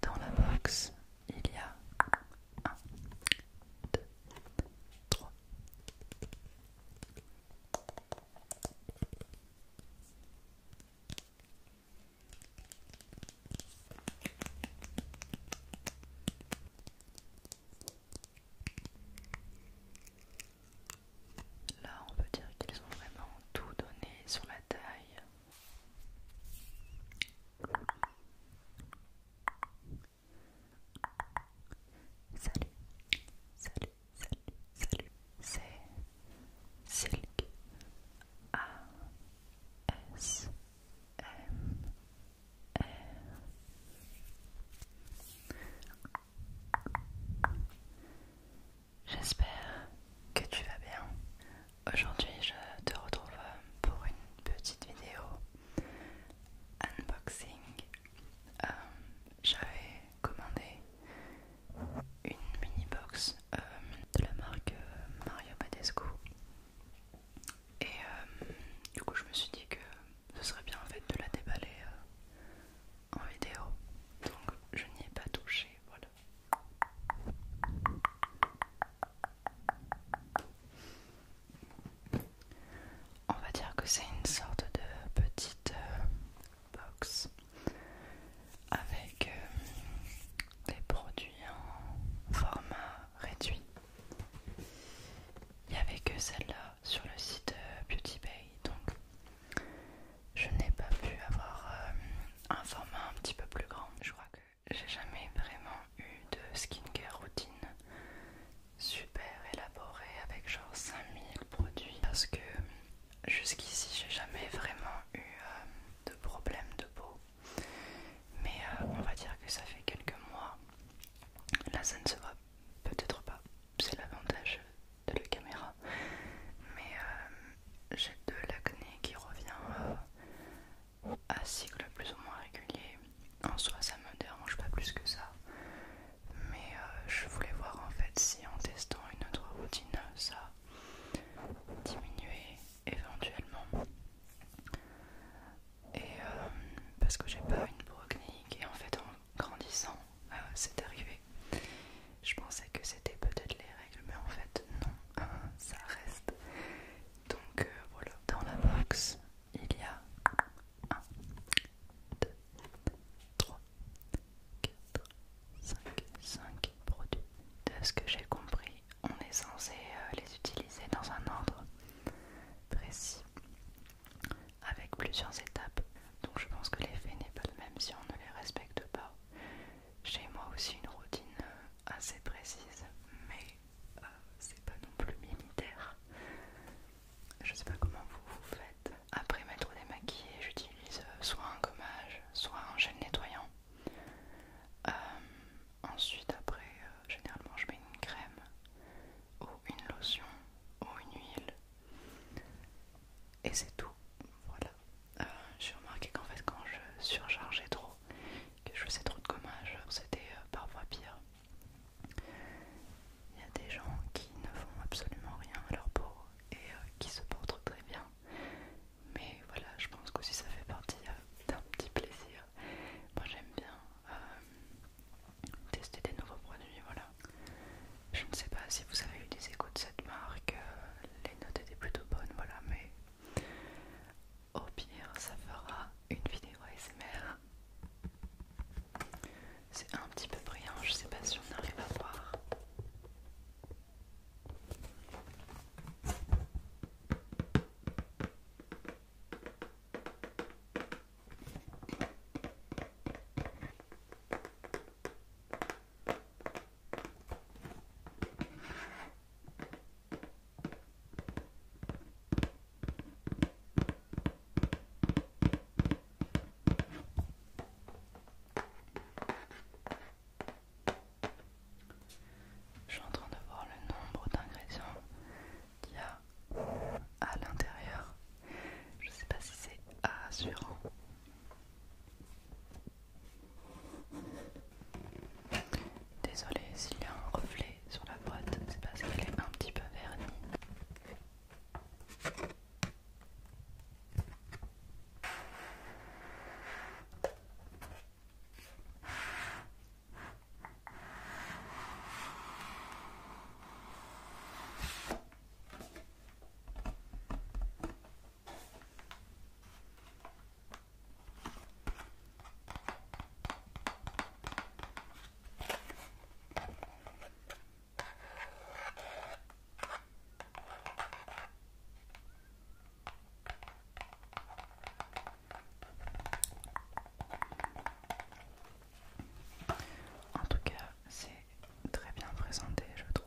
Dans la box, il y a un, deux, trois Là, on peut dire qu'ils ont vraiment tout donné sur la taille. Salut, salut, salut, salut. C'est Silk A S M R. J'espère que tu vas bien. Aujourd'hui, je te retrouve pour une petite vidéo unboxing. Euh, j'avais commandé une mini box euh, de la marque Mario Badescu et euh, du coup, je me suis dit que ce serait bien en fait de la déballer en vidéo. Donc, je n'y ai pas touché. Voilà, on va dire que c'est une sorte de petite euh, box avec euh, des produits en format réduit. Il n'y avait que celle-là sur le site euh, Beauty Bay, donc je n'ai pas pu avoir euh, un format un petit peu plus grand. Je crois que j'ai jamais vraiment eu de skincare routine super élaborée avec genre 5000 produits parce que jusqu'ici j'ai jamais vraiment eu euh, de problème de peau. Mais euh, on va dire que ça fait quelques mois. Là ça ne se voit peut-être pas. C'est l'avantage de la caméra mais euh, j'ai de l'acné qui revient à euh, cycle plus ou moins régulier en soi ça me dérange pas plus que ça mais euh, je voulais voir en fait si en testant une autre routine ça diminuait éventuellement et parce que j'ai pas une pro et en fait en grandissant c'est arrivé je pensais que c'était peut-être les règles, mais en fait non, ça reste. Donc euh, voilà, dans la box, il y a 1, 2, 3, 4, 5, 5 produits. De ce que j'ai compris, on est censé euh, les utiliser dans un ordre précis, avec plusieurs étapes. Donc je pense que l'effet n'est pas le même si on ne les respecte pas. J'ai moi aussi une routine euh, assez précise, mais euh, c'est pas non plus militaire. Je sais pas comment vous vous faites. Après m'être démaquillée, j'utilise euh, soit un gommage, soit un gel nettoyant. ensuite, après, généralement, je mets une crème ou une lotion ou une huile et c'est tout. Voilà. Euh, j'ai remarqué qu'en fait, quand je surchargeais trop, que je faisais trop de gommage, c'était euh, parfois pire. Il y a des gens qui ne font absolument rien à leur peau et euh, qui se portent très bien. Mais voilà, je pense qu'aussi ça fait partie d'un petit plaisir. Moi j'aime bien tester des nouveaux produits, voilà. Je ne sais pas si vous avez eu des échos de cette marque, les notes étaient plutôt bonnes, voilà, mais au pire, ça fera une vidéo ASMR. C'est un petit peu brillant, je sais pas si on arrive à voir. Je suis en train de voir le nombre d'ingrédients qu'il y a à l'intérieur. Je sais pas si c'est assurant, Désolé s'il y a un reflet sur la boîte, c'est parce qu'elle est un petit peu vernie. En tout cas, c'est très bien présenté, je trouve.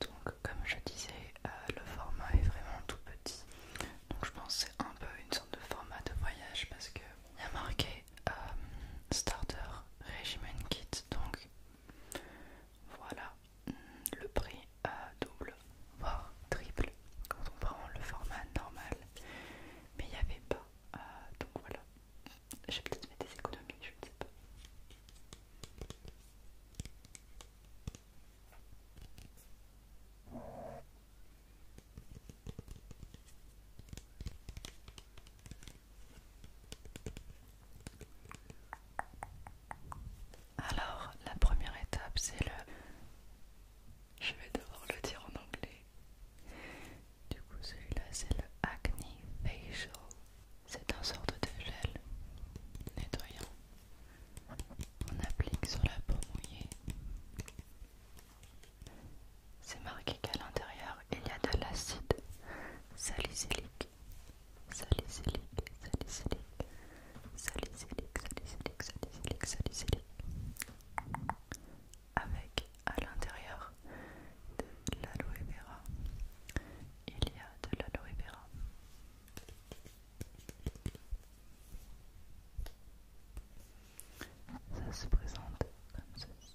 Donc comme je disais, euh, le format est vraiment tout petit. Donc je pense c'est un peu une sorte de format de voyage parce que il y a marqué euh, starter Regimen Kit. Donc voilà, le prix euh, double, voire triple quand on prend le format normal. Mais il n'y avait pas. Euh, donc voilà, j'ai peut-être fait des économies, je ne sais pas. Alors, la première étape, c'est le... Je vais devoir le dire en anglais. Du coup, celui-là, c'est le Acne Facial. C'est un sorte de gel nettoyant. On applique sur la peau mouillée. C'est marqué à qu'à l'intérieur il y a de l'acide salicylique, salicylique, salicylique, salicylique, salicylique, salicylique, salicylique, avec à l'intérieur de l'aloe vera, il y a de l'aloe vera. Ça se présente comme ceci.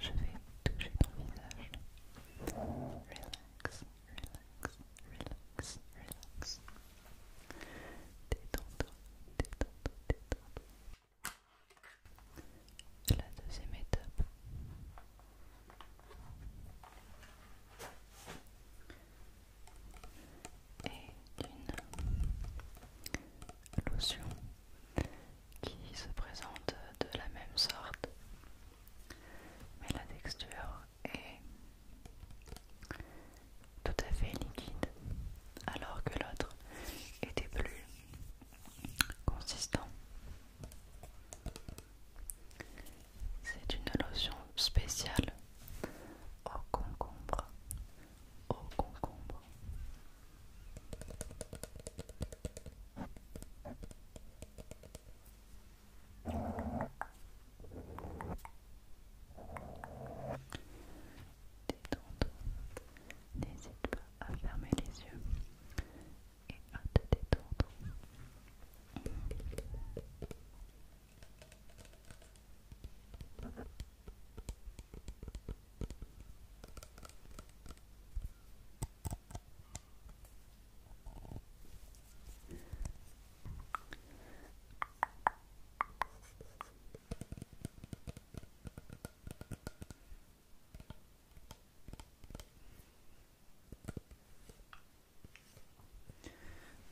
Je vais toucher ton visage la deuxième étape. Et d'une lotion qui se présente de la même sorte, mais la texture est tout à fait liquide, alors que l'autre était plus consistant. C'est une lotion spéciale au concombre. Au concombre. Détente. N'hésite pas à fermer les yeux et à te détendre.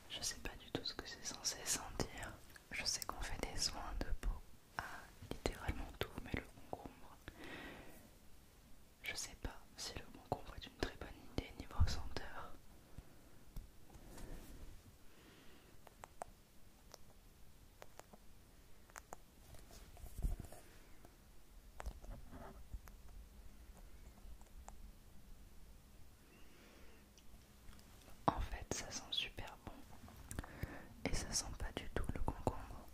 Je sais pas du tout ce que c'est censé sentir. Je sais qu'on fait des soins de peau à littéralement tout, mais le concombre, je sais pas si le concombre est une très bonne idée niveau senteur. En fait, ça sent super bon et ça sent pas du tout le concombre.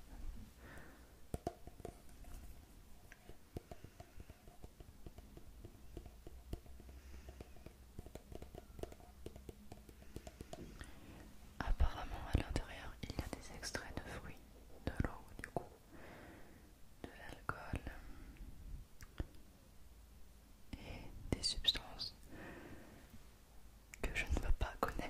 Apparemment, à l'intérieur, il y a des extraits de fruits, de l'eau, du coup de l'alcool et des substances que je ne veux pas connaître.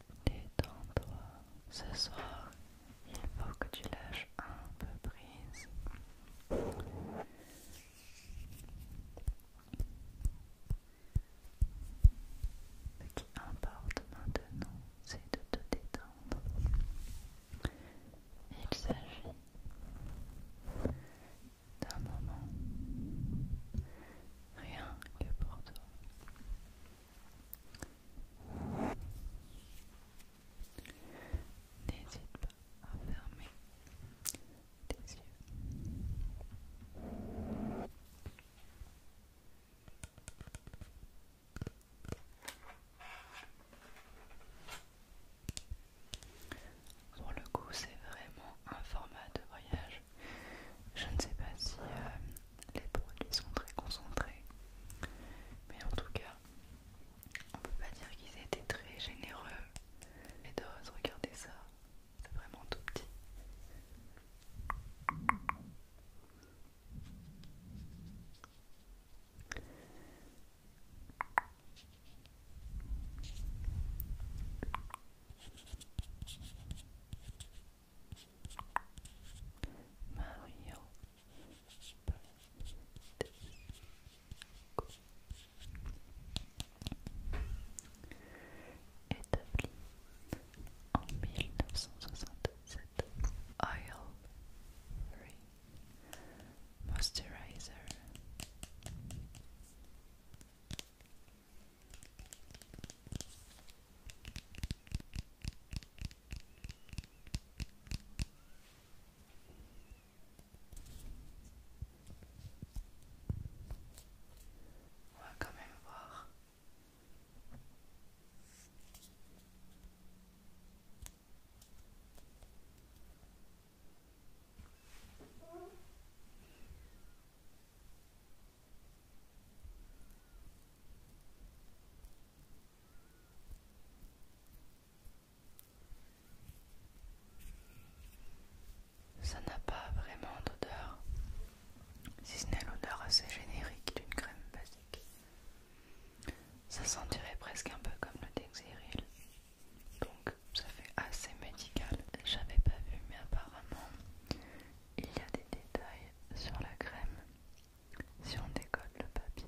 Détends-toi. Ce soir, il faut que tu lâches un peu prise. Ce qui importe maintenant, c'est de te détendre. Il s'agit d'un moment rien que pour toi. N'hésite pas à fermer tes yeux. Pour le coup, c'est vraiment un format de voyage. Je ne sais pas si euh, les produits sont très concentrés. Mais en tout cas, on peut pas dire qu'ils étaient très généreux. Les doses, regardez ça, c'est vraiment tout petit. Mario établi en 1967 Oil Free Moisturizer On va quand même voir. Ça n'a pas vraiment d'odeur, si ce n'est l'odeur assez générique d'une crème basique. Ça sentirait presque un peu comme le Dexeryl, donc ça fait assez médical. J'avais pas vu, mais apparemment il y a des détails sur la crème si on décolle le papier.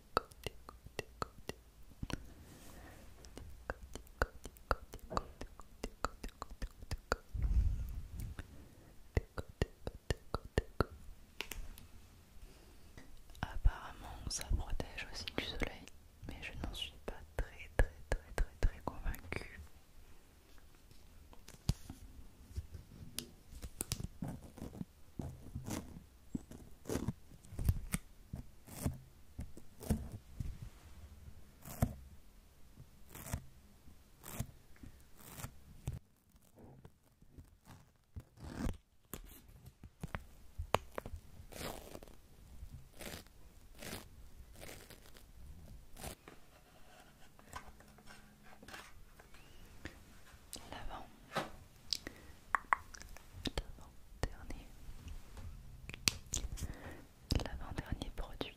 Apparemment, ça protège aussi du soleil, mais je n'en suis pas très très très très très convaincue. L'avant l'avant-dernier l'avant-dernier produit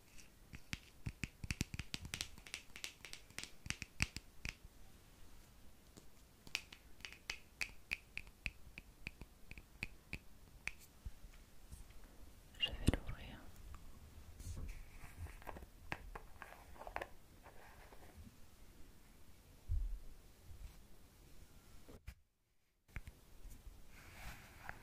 Je vais l'ouvrir.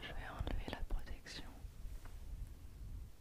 Je vais enlever la protection.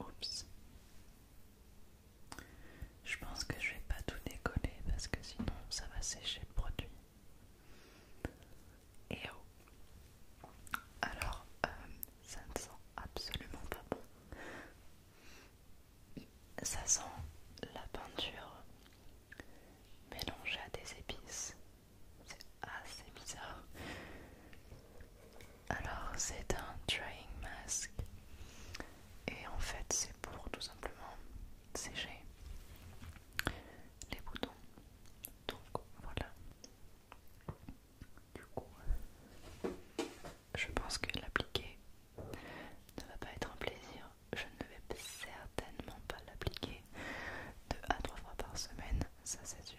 Oups. Je pense que je vais pas tout décoller parce que sinon ça va sécher le produit. Et oh. Alors, euh, ça ne sent absolument pas bon. Ça sent la peinture mélangée à des épices. C'est assez bizarre. Alors c'est un drying mask et en fait c'est pour tout simplement sécher les boutons. Donc voilà. Du coup, je pense que l'appliquer ne va pas être un plaisir. Je ne vais certainement pas l'appliquer deux à 3 fois par semaine, ça c'est sûr.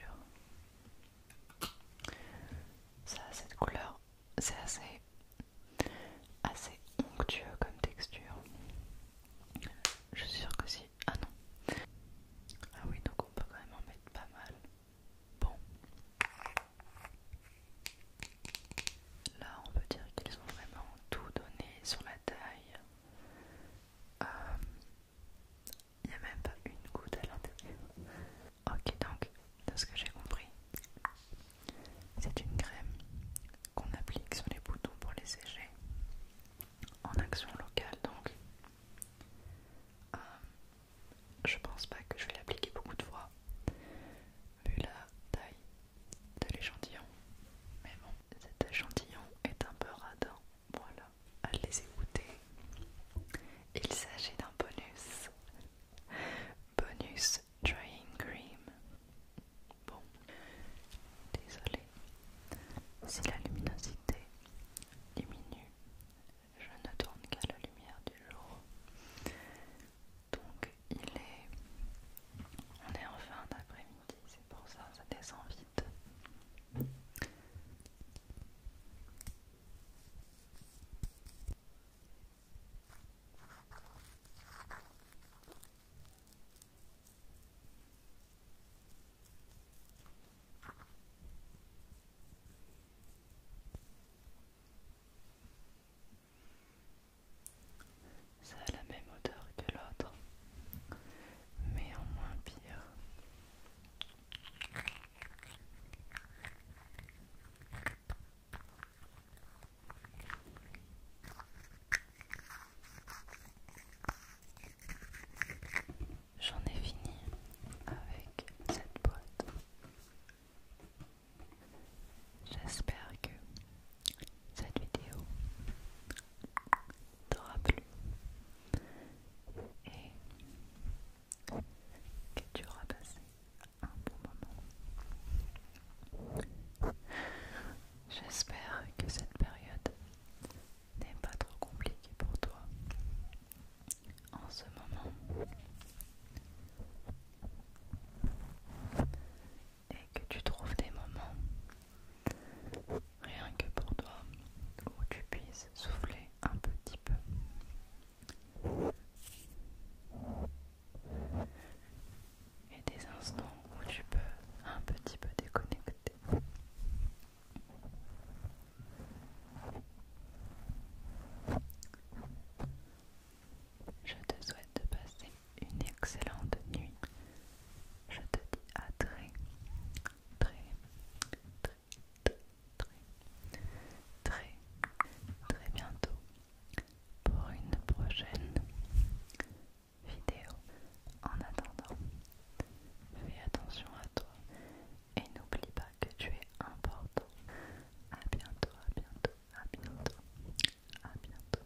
Ça cette couleur, c'est assez, assez onctueux comme texture. Je suis sûre que si. Ah non. Ah oui, donc on peut quand même en mettre pas mal. Bon. Là, on peut dire qu'ils ont vraiment tout donné sur la taille. Euh, il n'y a même pas une goutte à l'intérieur. Ok, donc, de ce que j'ai compris, c'est une crème qu'on applique sur les boutons pour les sécher en action locale. Donc, euh, je pense pas que je vais l'appliquer beaucoup de fois, vu la taille de l'échantillon. Mais bon, cet échantillon est un peu radin. Voilà à les écouter. Il s'agit d'un bonus. Bonus Drying Cream. Bon, désolé. Si la luminosité diminue, je ne tourne qu'à la lumière du jour. Donc il est... On est en fin d'après-midi, c'est pour ça, ça descend vite. Ça a la même odeur que l'autre, mais en moins pire. J'en ai fini avec cette boîte. J'espère que cette vidéo t'aura plu et que tu auras passé un bon moment. J'espère que cette période n'est pas trop compliquée pour toi en ce moment et que tu trouves des moments rien que pour toi où tu puisses souffler un petit peu et des instants où tu peux un petit peu déconnecter. Je te souhaite de passer une excellente nuit. Je te dis à très, très, très très, très, très bientôt pour une prochaine vidéo. En attendant, fais attention à toi et n'oublie pas que tu es important. À bientôt, à bientôt, à bientôt, à bientôt.